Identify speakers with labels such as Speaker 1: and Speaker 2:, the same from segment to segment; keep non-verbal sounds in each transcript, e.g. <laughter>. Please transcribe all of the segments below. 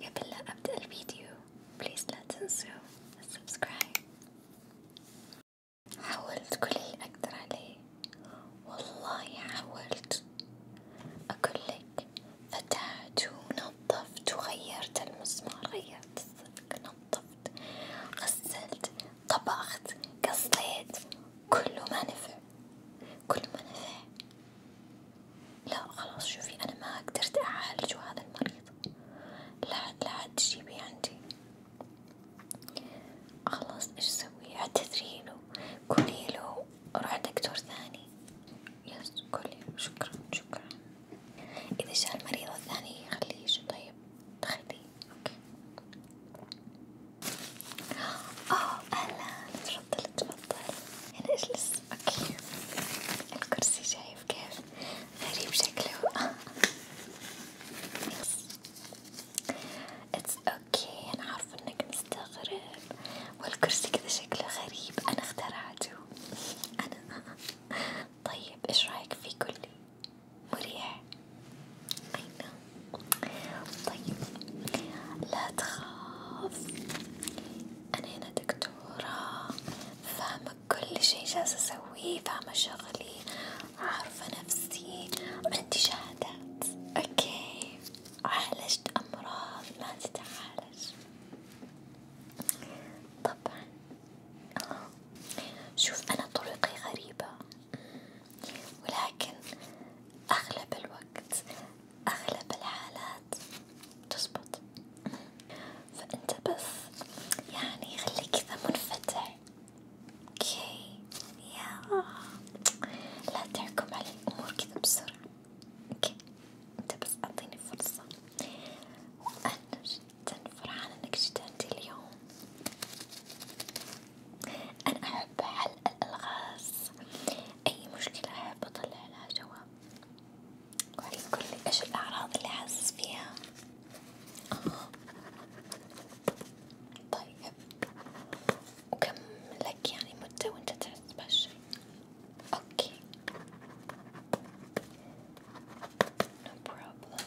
Speaker 1: قبل لا أبدأ الفيديو بليز لا تنسوا السبسكرايب حاولت كل اللي أقدر عليه والله حاولت أقول لك فتحت ونظفت وغيرت المسمار غيرت السلك نظفت غسلت طبخت قصيت كله ما نفع كله ما نفع لا خلاص شوفي أنا ما قدرت أعالجه هذا المريض لا لا عاد تجيبي عندي خلاص إيش أسوي اعتذري له قولي له روح دكتور ثاني يس قولي شكرا شكرا إذا جاء المريض الثاني خليه يجي طيب خليه أوكي أوه أهلا تفضل تفضل تفضل يعني هنا اجلس اوكي الكرسي شايف كيف غريب شكله اتس اوكي انا عارفة انك مستغرب والكرسي كذا شكله غريب انا اخترعته انا طيب ايش رايك في كلي مريح اينا طيب لا تخاف أنا هنا دكتورة فاهمة كل شي جالسة أسويه فاهمة شغلي عارفة نفسي عندي شهادات أوكي عالجت أمراض ما تتعالج طبعا آه. شوف أنا طريقي غريبة ولكن أغلب الوقت أغلب الحالات تزبط فأنت بس يعني خليك كذا منفتح اوكي يا لا تحكم على الأمور كذا بسرعة اوكي انت بس أعطيني فرصة وأنا جدا فرحانة انك جيت عندي اليوم أنا أحب حل الألغاز أي مشكلة أحب أطلع لها جواب وعلي كل إيش الأعراض اللي حاسس فيها آه. طيب وكم لك يعني مدة وأنت تحس بهالشي أوكي no problem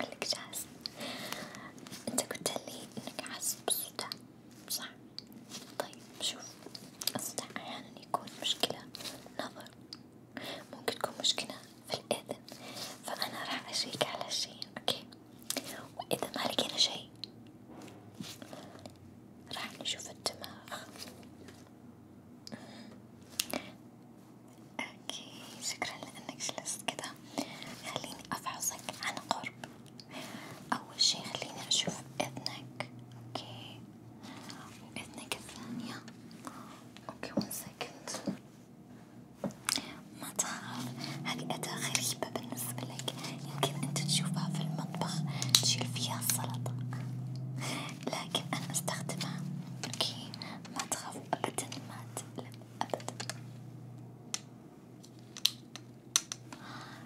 Speaker 1: لك جاهز انت قلت لي انك حاسس بالصداع صح؟ طيب شوف الصداع احيانا يكون مشكلة نظر ممكن تكون مشكلة في الاذن فانا راح اشيك على شي اوكي واذا ما لقينا شي راح نشوف الدماغ اوكي شكرا لانك جلست كذا خليني أفحصك عن قرب، أول شي خليني أشوف إذنك، أوكي، وإذنك الثانية، أوكي وين سكنت، ما تخاف، هاي أداة غريبة بالنسبة لك، يمكن أنت تشوفها في المطبخ تشيل فيها السلطة، لكن أنا أستخدمها، أوكي، ما تخاف أبدا ما تقلق أبدا.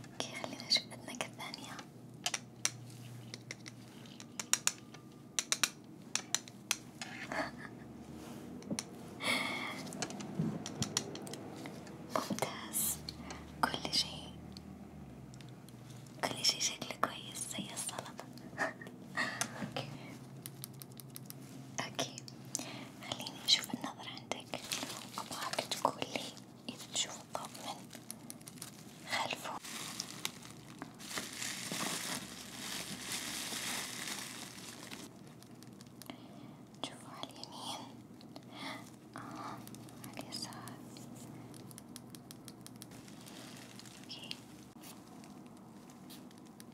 Speaker 1: اوكي خلينا نشوف أذنك الثانية <laughs> ممتاز كل شيء كل شيء شكله كويس زي السلطة <laughs> اوكي أكيد خليني أشوف النظر عندك، أبغاك تقولي إذا تشوف الضوء من خلفه، تشوفه على اليمين، آه على اليسار، أوكي.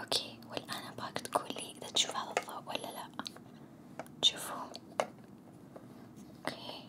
Speaker 1: اوكي والان ابغاك تقولي اذا تشوف هذا الضوء ولا لا تشوفوه اوكي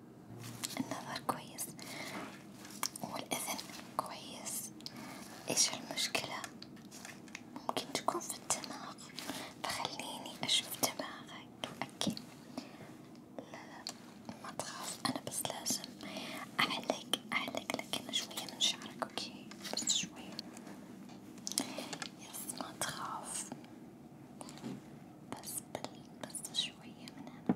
Speaker 1: النظر كويس والأذن كويس، إيش المشكلة؟ ممكن تكون في الدماغ، فخليني أشوف دماغك، أوكي؟ لا لا ما تخاف، أنا بس لازم أعلق أعلق لك شوية من شعرك، أوكي؟ بس شوية، يس ما تخاف، بس بل بس شوية من هنا.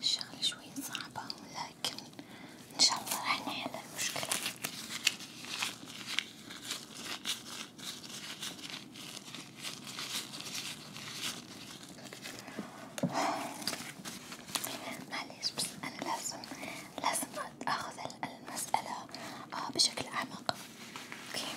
Speaker 1: الشغلة شوي صعبة لكن ان شاء الله راح نحل المشكلة معليش بس انا لازم لازم اخذ المسألة آه، بشكل اعمق اوكي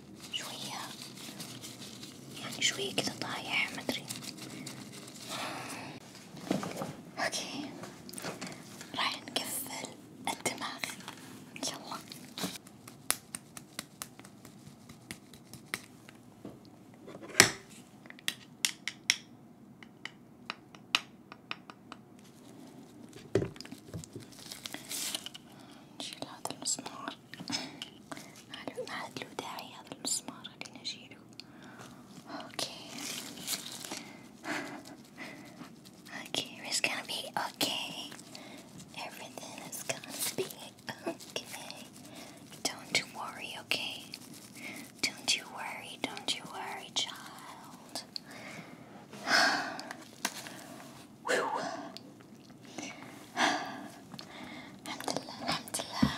Speaker 1: شوية يعني شوية كده طايح مدري اوكي راح نقفل الدماغ يلا نشيل هذا المسمار ما it's gonna be okay everything is gonna be okay don't you worry okay don't you worry don't you worry child <sighs> الحمد لله الحمد لله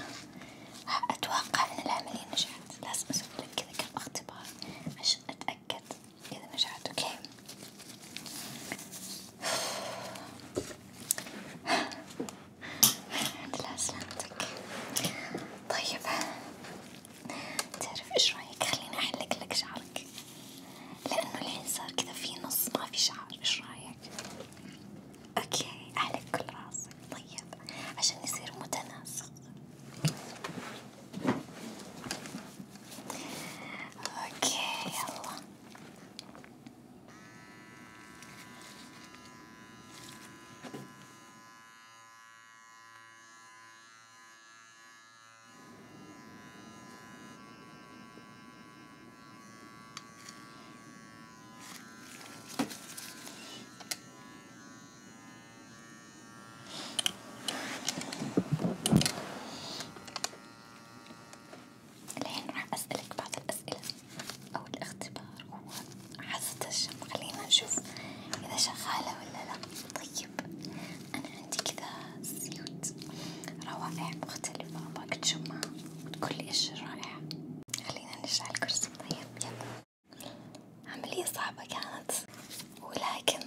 Speaker 1: أتوقع أن العملية نجحت لازم أسوي لك كذا كم اختبار عشان أتأكد إذا نجحت أوكي الحمد لله سلامتك طيب تعرف إيش رأيك خليني أحلق لك شعرك لأنه الحين صار كذا في نص ما في شعر، إيش رأيك؟ أوكي أحلق كل راسك، طيب عشان يصير متناسق، أوكي يلا. الحين راح أسألك بعض الأسئلة أو الاختبار هو عزة الشم خلينا نشوف إذا شغالة ولا لا طيب طيب أنا عندي كذا زيوت روائع مختلفة أباك تشمها وتقول لي إيش رائعة، خلينا نرجع الكرسي طيب يلا، عملية صعبة كانت ولكن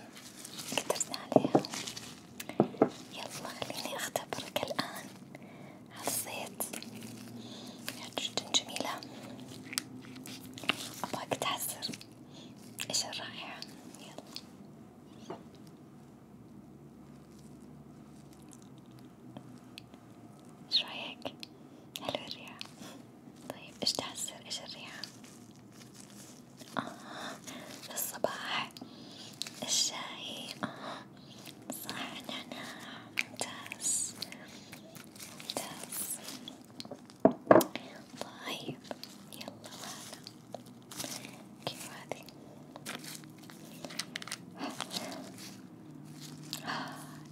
Speaker 1: قدرنا عليها، يلا خليني أختبرك الآن على الزيت، جدا جميلة، أباك تعزر. ايش الرائعة يلا ايش رايك؟ حلو الريحة طيب ايش تعسر ايش الريحة؟ اه الصباح الشاي اه صح نعناع ممتاز ممتاز طيب يلا هلا كيف هذي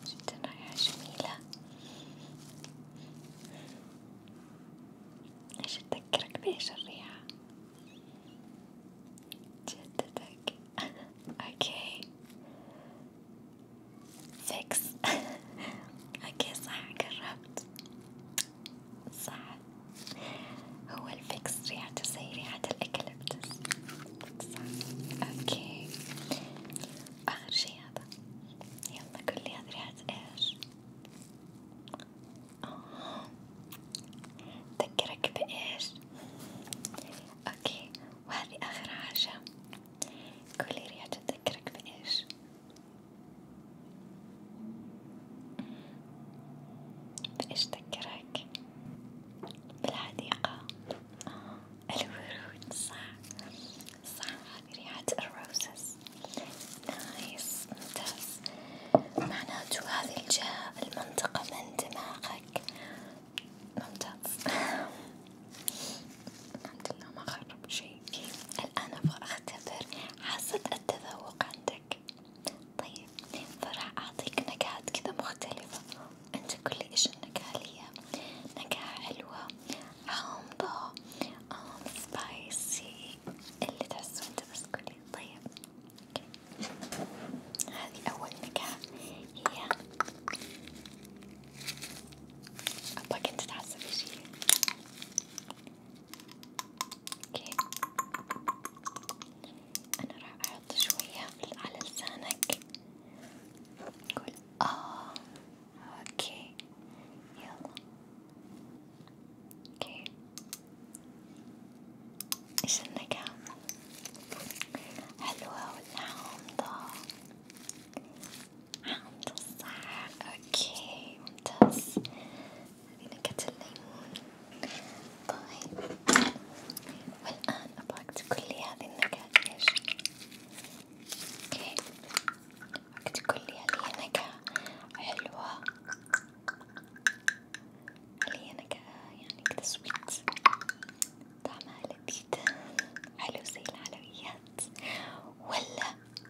Speaker 1: جدا رائعة جميلة ايش تذكرك بايش الريحة جدتك اوكي فيكس اوكي صح قربت صح هو الفكس ريحته زي ريحة الأكليبتس صح أوكي آخر شي هذا يلا قولي هذا ريحة إيش؟ آه تذكرك بإيش؟ أوكي وهذه آخر حاجة قولي ريحة تذكرك بإيش؟ بإيش تذكرك؟ بالحديقة آه الورود صح صح هذي ريحة الروزز نايس ممتاز معناته هذي الجهة المنطقة من دماغك ممتاز <laughs> الحمد لله ما خرب شي الآن أبغى أختبر حاسة التذوق عندك، طيب فراح أعطيك نكهات كذا مختلفة، أنت قل لي إيش النكهة اللي هي نكهة حلوة، حامضة، آم سبايسي، اللي تحسه أنت بس قولي، طيب هذه أول نكهة هي أبغاك أنت تحسب إيش هي. اوكي انا راح احط شوية على لسانك قول اه اوكي يلا اوكي ايش النكهة حلوة ولا حامضة حامضة صح اوكي ممتاز لنكهة الليمون طيب والآن أبغاك تقولي هذه النكهة إيش؟ أوكي أبغاك تقولي هل هي نكهة حلوة؟ هل هي نكهة يعني كذا سويت؟ طعمها لذيذ حلو زي الحلويات ولا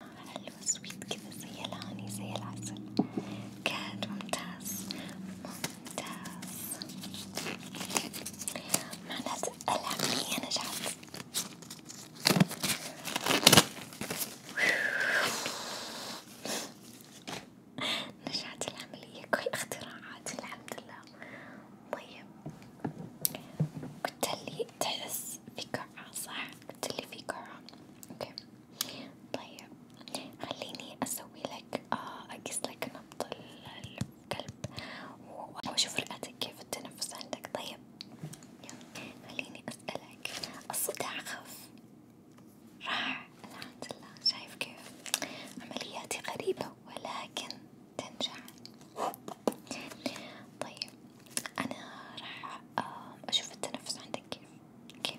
Speaker 1: حلوة سويت كذا زي الهاني زي العسل كاد ممتاز ممتاز معناته العملية نجحت نجحت العملية كل اختراعاتي الحمد لله طيب قلتلي تحس في قاعة صح؟ قلتلي في قاعة اوكي طيب خليني اسوي لك آه اقيس لك نبض القلب واشوف رئتك كيف التنفس عندك طيب يلا خليني اسألك الصداع خف راح الحمد لله شايف كيف عملياتي غريبة ولكن تنجح طيب انا راح آه، اشوف التنفس عندك كيف اوكي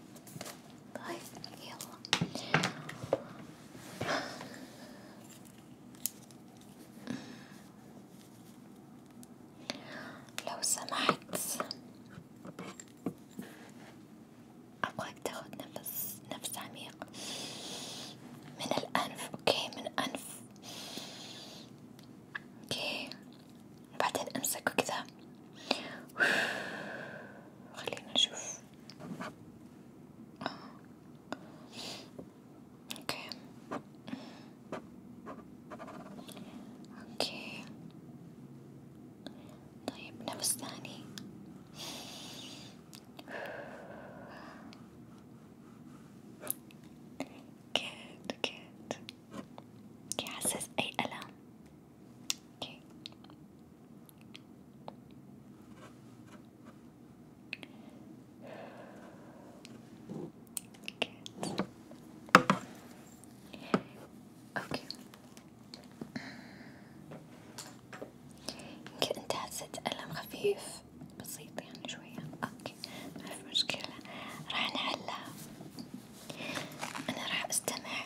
Speaker 1: طيب يلا لو سمحت أبغاك تاخد نفس نفس عميق من الأنف، أوكي من الأنف، أوكي وبعدين امسكه كذا <sighs> خلينا نشوف اوكي اوكي طيب نفس ثاني كيت <sighs> كيت يحسس أي ألم أوكي Good. أوكي يمكن أنت حسيت ألم خفيف بسيط يعني شوية أوكي ما في مشكلة راح نحلها أنا راح أستمع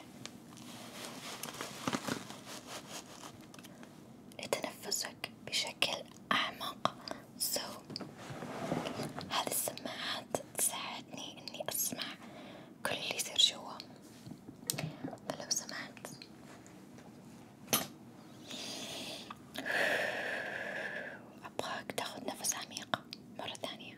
Speaker 1: لتنفسك بشكل أعمق سو so, هذه السماعات تساعدني إني أسمع كل اللي يصير جوا فلو سمعت أبغاك تاخد نفس عميق مرة ثانية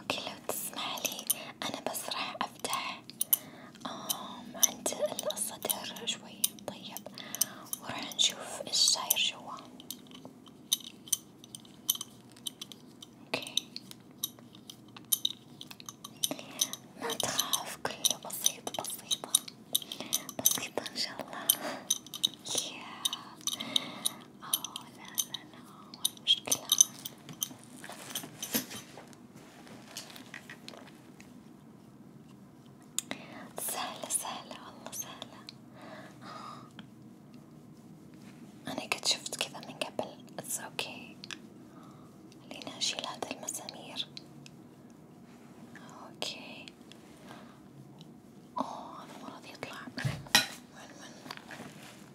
Speaker 1: اوكي لو تسمح لي انا بس راح افتح آم عند الصدر شوي طيب وراح نشوف ايش صاير جوا اوكي ما تخاف كله بسيط بسيطة بسيطة ان شاء الله <laughs> yeah. اه لا لا لا ولا مشكلة سهلة سهلة والله سهلة آه. أنا قد شفت كذا من قبل اتس اوكي خليني أشيل هذا المسامير اوكي اوه المرض يطلع من <laughs> من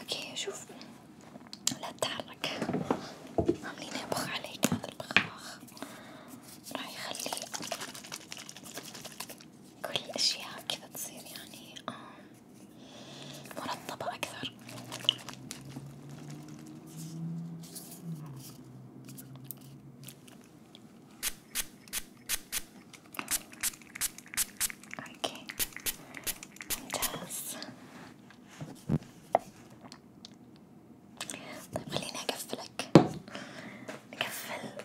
Speaker 1: اوكي شوف لا تتحرك خليني ابخ عليك هذا البخاخ راح يخلي كل الأشياء كذا تصير يعني مرتبة أكثر. اوكي ممتاز طيب خليني اقفلك نقفل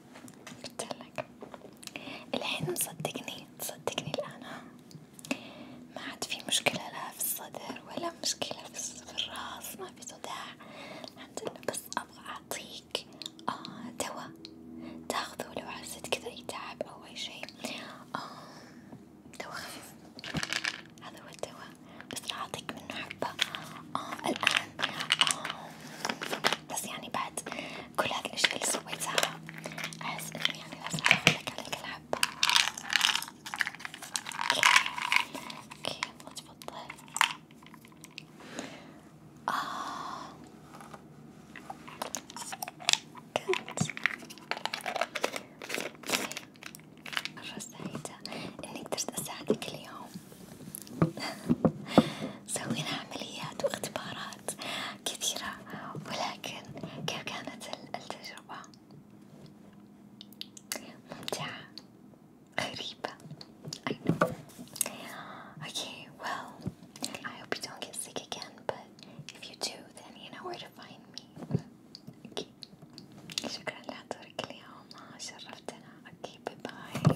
Speaker 1: قلتلك الحين مصدقني تصدقني الآن ها ما عاد في مشكلة لا في الصدر ولا مشكلة في الراس ما في صداع الحمد لله بس أبغى أعطيك آه دواء تاخذه لو حسيت كذا يتعب أو أي شيء آه دواء خفيف هذا هو الدواء بس راح أعطيك منه حبة آه الآن آه بس يعني بعد كل هاد الاشياء اللي سويتها احس انه يعني لازم اقولك على كل حبة اوكي يلا تفضل آه. كنت مرة سعيدة إني قدرت أساعدك اليوم <laughs> سوينا عمليات واختبارات كثيرة ولكن كيف كانت التجربة؟ ممتعة غريبة I know Okay, well I hope you don't get sick again but if you do then you know where to find me Okay شكرا لحضورك اليوم شرفتنا Okay, bye bye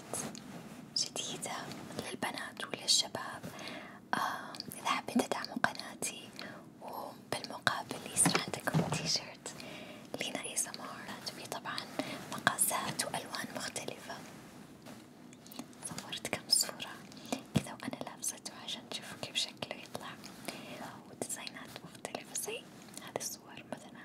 Speaker 1: تكنيكات جديدة للبنات وللشباب آه إذا حابين تدعموا قناتي وبالمقابل يصير عندكم تيشيرت لينا اي سمارات فيه طبعا مقاسات وألوان مختلفة صورت كم صورة كذا وأنا لابسته عشان تشوفوا كيف شكله يطلع وديزاينات مختلفة زي هذه الصور مثلا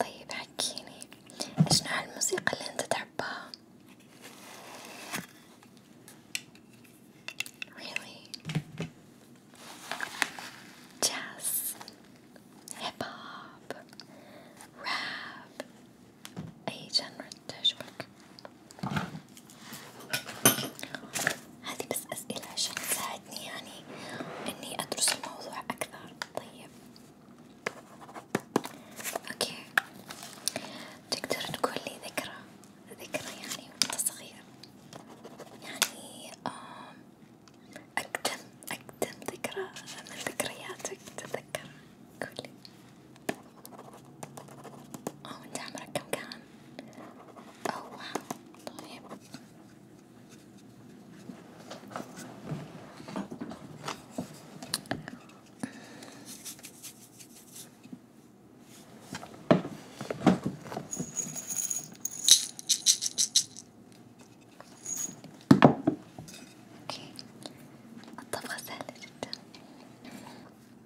Speaker 1: طيب حكيني ايش نوع الموسيقى اللي انت تحبها؟ Really? Jazz, hip hop, rap, أي جنرا تعجبك؟ هذه بس أسئلة عشان تساعدني يعني إني أدرس الموضوع أكثر، طيب أوكي، تقدر تقول لي ذكرى ذكرى يعني وأنت صغير يعني أقدم أقدم ذكرى من ذكرياتك تتذكر قولي أو أنت عمرك كم كان؟ أو طيب اوكي الطبخة سهلة جدا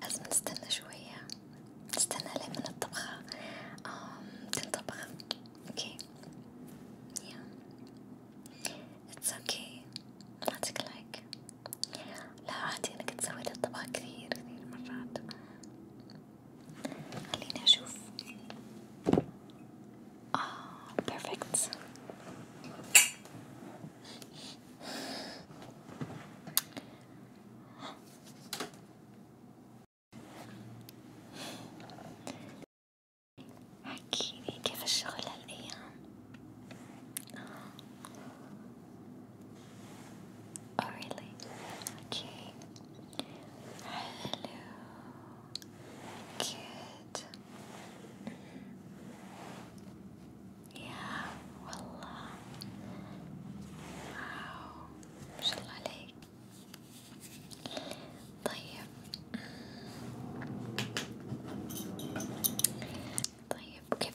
Speaker 1: لازم نستنى شوية نستنى لمن الطبخة تنطبخ اوكي yeah it's okay ما تقلق لا عادي أنا كنت سويت الطبق كثير كثير مرات خليني أشوف آه بيرفكت حكيلي كيف الشغل هالأيام؟ Oh really? Okay. Hello. Good. Yeah, wallah. Wow. ما شاء الله عليك. طيب. طيب كيف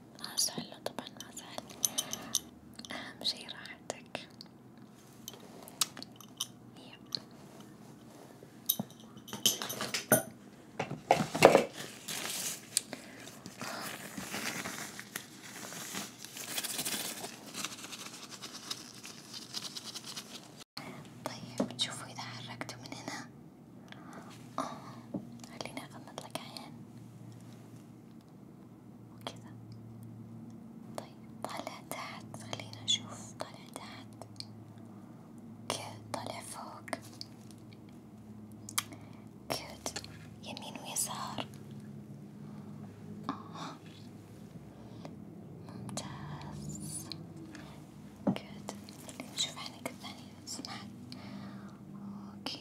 Speaker 1: طيب ما زال طبعا ما زال أهم شي راحتك يب طيب شوفوا إذا حركتوا من هنا خليني أغمض لك عين وكذا طيب طالع تحت خلينا نشوف طالع تحت كده طالع فوق كده يمين ويسار آه. ممتاز كده نشوف عينك الثانية سمعت اوكي